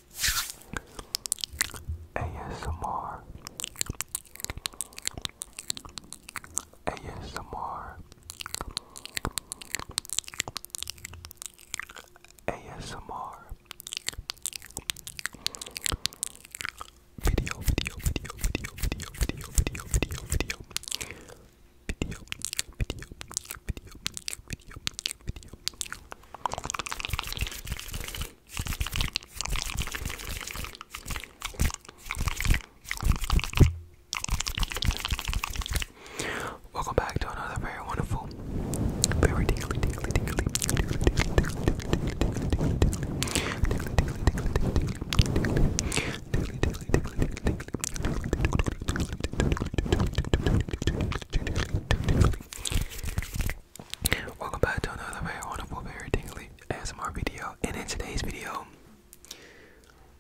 ASMR ASMR ASMR Video video video video video video video video video video video video video Welcome back to another very wonderful, Welcome back to another very wonderful, very tingly ASMR video. And in today's video,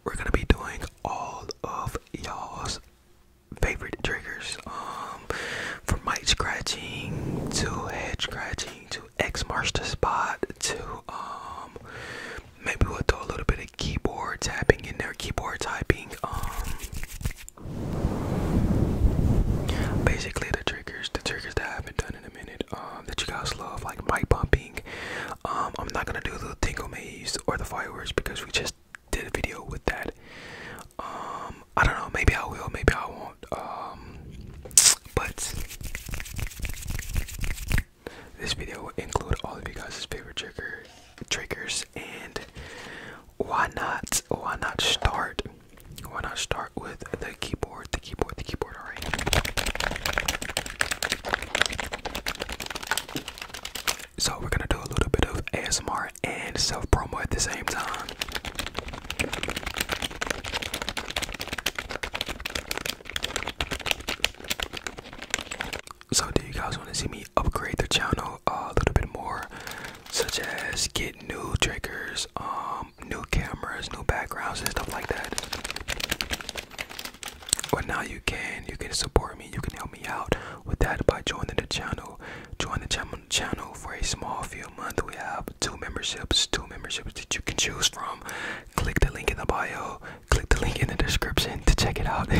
we're gonna be doing all of y'all's favorite triggers. Um, from mic scratching to head scratching to X marks the spot to um, maybe we'll throw a little bit of keyboard tapping in there, keyboard typing. Um, Basically, the triggers, the triggers that I haven't done in a minute, um, that you guys love, like mic bumping. Um, I'm not gonna do the tinkle maze or the fireworks because we just did a video with that. Um, I don't know. Maybe I will. Maybe I won't. but this video will include all of you guys' favorite trigger triggers and why not why not start why not start with the keyboard the keyboard the keyboard all right so we're gonna do a little bit of asmr and self promo at the same time so do you guys want to see me upgrade the channel a little bit more, such as get new triggers, um, new cameras, new backgrounds, and stuff like that? But now you can, you can support me, you can help me out with that by joining the channel. Join the channel channel for a small fee a month. We have two memberships, two memberships that you can choose from. Click the link in the bio, click the link in the description to check it out.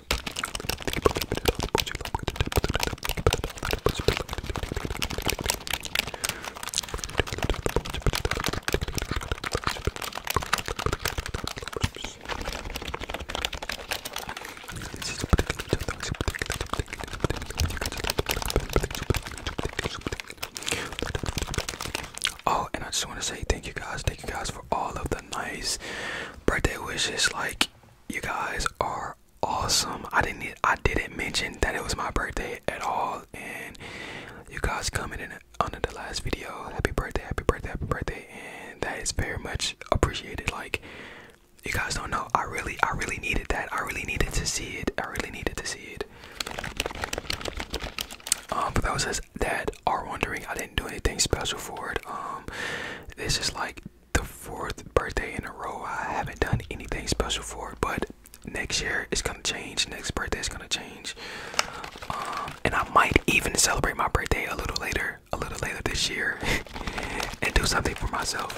Oh, and I just want to say thank you guys, thank you guys for all of the nice birthday wishes. Like you guys are awesome. I didn't I didn't mention that it was my birthday at all and you guys coming in under the last video. Happy birthday, happy birthday, happy birthday and that is very much appreciated. Like you guys don't know. I really I really needed that. I really needed to see it. I really needed to see it. Um was just that are wondering, I didn't do anything special for it. Um, this is like the fourth birthday in a row. I haven't done anything special for it, but next year it's gonna change. Next birthday is gonna change. Um, and I might even celebrate my birthday a little later, a little later this year, and do something for myself.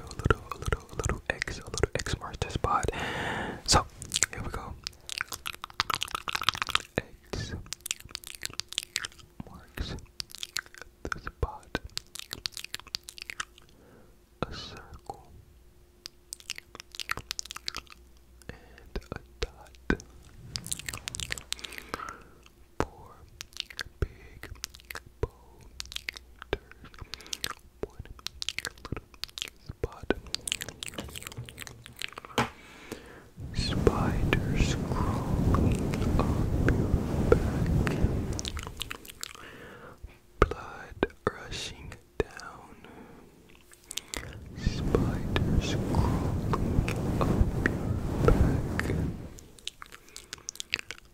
a little, a little, a little X, a little X marks the spot. So here we go. X marks the spot. A circle and a dot four big boulders, one little spot. Spiders crawling up your back, blood rushing down. Spiders crawling up your back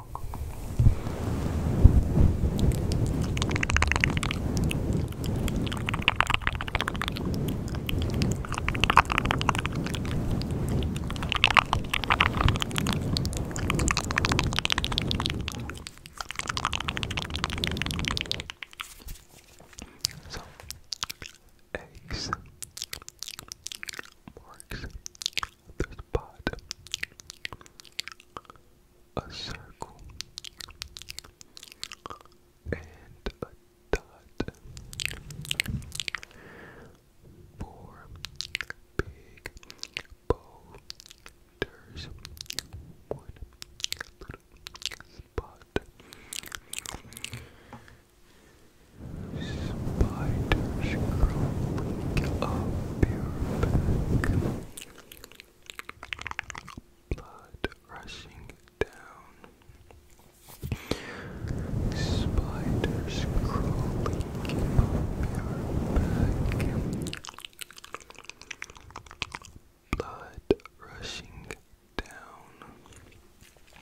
so, eggs, marks, there's a pot. A circle. And a dot. Four big boulders. One little spot. Spiders crawling up your back. Blood rushing down. Spiders crawling up your back. Blood rushing down.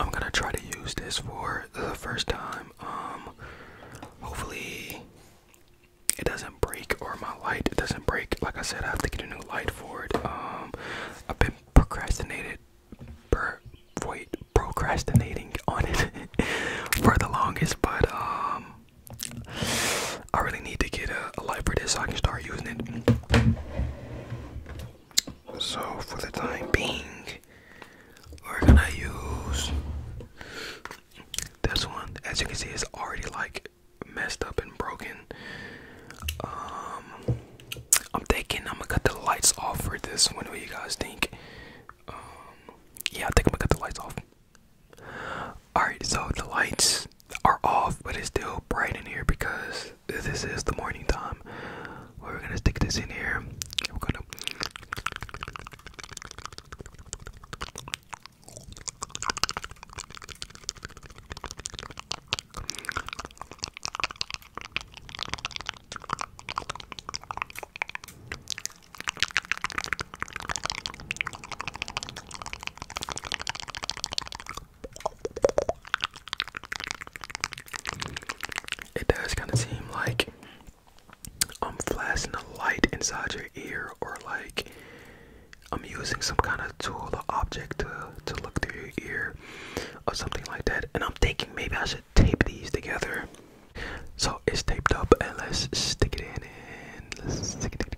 I'm gonna try to use this for the first time. Um, hopefully, it doesn't break or my light it doesn't break like i said i have to get a new light for it um i've been procrastinated wait procrastinating on it for the longest but um i really need to get a, a light for this so i can start using it so for the time being we're gonna use this one, as you can see, is already like messed up and broken. Um, I'm thinking I'm gonna cut the lights off for this one. What do you guys think? Um, yeah, I think I'm gonna cut the lights off. Alright, so the lights are off, but it's still bright in here because this is the morning time. We're gonna stick this in here. We're gonna it does kind of seem like I'm flashing a light inside your ear, or like I'm using some kind of tool or object to, to look through your ear, or something like that. And I'm thinking maybe I should tape these together. So it's taped up, and let's stick it in. And let's stick it in.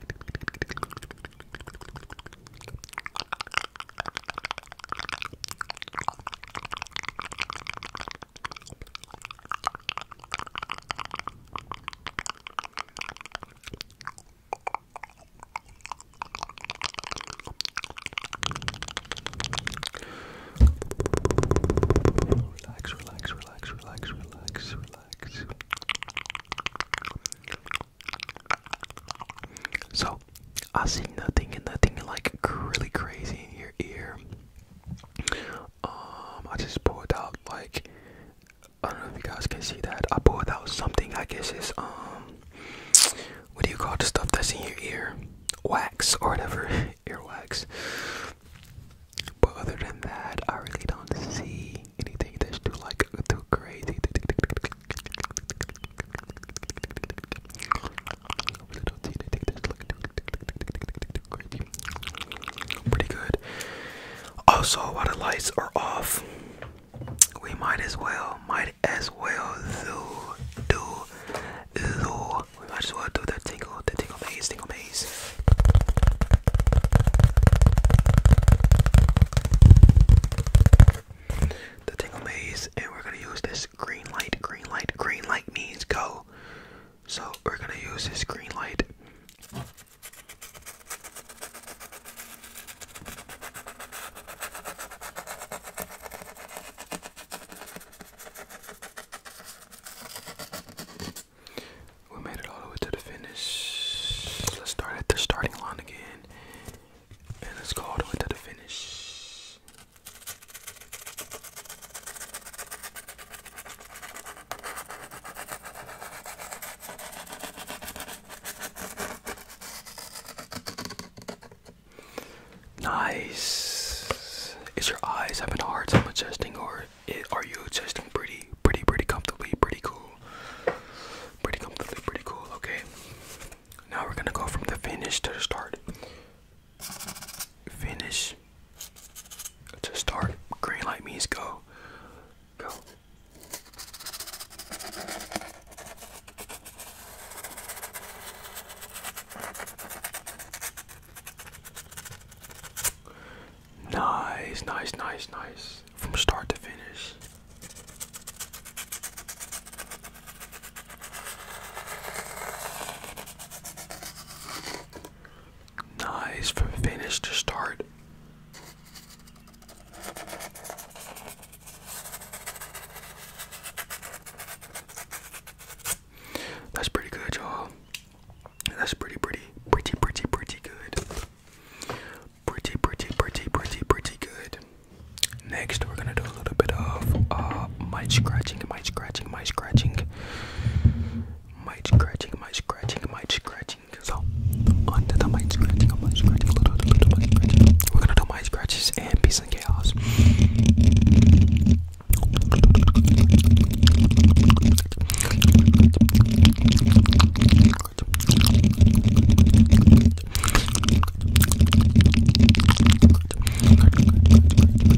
Relax, relax, relax, relax, relax, relax. So, I see nothing and nothing like really crazy in your ear. Um, I just pulled out like I don't know if you guys can see that. I pulled out something. I guess it's um, what do you call the stuff that's in your ear? Wax or whatever, earwax. But other than that, I really don't see anything that's too like too crazy. I really too crazy. Pretty good. Also, while the lights are off, we might as well, might as well do, do, do. We might as well do the tingle, the tingle maze, tingle maze. The tingle maze, and we're gonna use this green light. Green light, green light means go. So we're gonna use this green light we made it all the way to the finish. Let's start at the starting line again. And let's go all the way to the finish. Nice. Is your eyes having a hard time adjusting, or are you adjusting pretty, pretty, pretty comfortably, pretty cool, pretty comfortably, pretty cool? Okay. Now we're gonna go from the finish to the start. Finish means to start. Green light means go. Go. Nice, nice, nice, nice. From start to finish. Nice for finish to start. That's pretty good, y'all. That's pretty, pretty, pretty, pretty, pretty good. Pretty, pretty, pretty, pretty, pretty good. Next, we're gonna do a little bit of uh, mic scratching, mic scratching, mic scratching might scratching, might scratching, might scratching. So onto the might scratching, might scratching, little, little, little might scratching. We're gonna do might scratches and peace and chaos.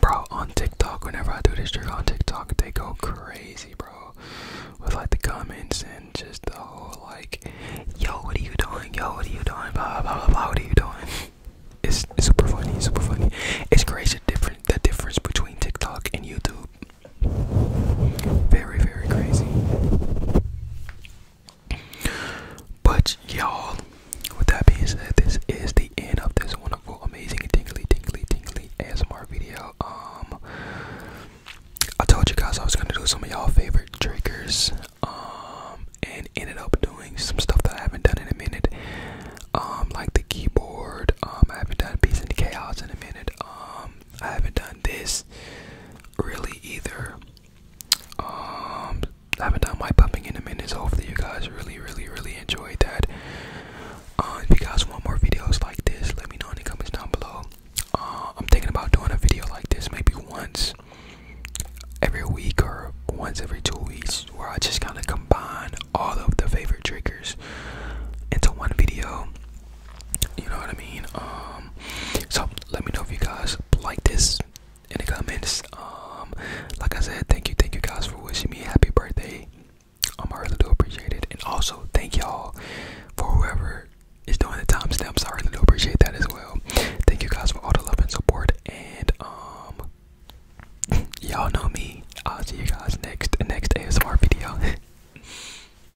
Bro, on TikTok, whenever I do this trick on TikTok, they go crazy, bro. With like the comments and just the whole like, yo, what are you doing? Yo, what are you doing? Blah blah blah What are you doing? It's, it's super funny, super funny. It's crazy different the difference between TikTok and YouTube. Very, very crazy. But y'all, with that being said, this is the end of this wonderful, amazing, tingly, tingly, tingly ASMR video. Um, I told you guys I was gonna do some of y'all favorite triggers. Um, and ended up doing some stuff that I haven't done in a minute. Um, like the keyboard. Um, I haven't done Peace into Chaos in a minute. Um, I haven't done this really either. Um, I haven't done my pumping in a minute, so hopefully you guys really, really, really enjoyed that. Uh, if you guys want more videos like this, let me know in the comments down below. Uh, I'm thinking about doing a video like this maybe once every week or once every two weeks where I just kind of combine all of the favorite triggers into one video you know what I mean? Um, so let me know if you guys like this in the comments. Um, like I said, thank you, thank you guys for wishing me a happy birthday. I'm um, really do appreciate it, and also thank y'all for whoever is doing the timestamps. I really do appreciate that as well. Thank you guys for all the love and support, and y'all know me. I'll see you guys next next ASMR video.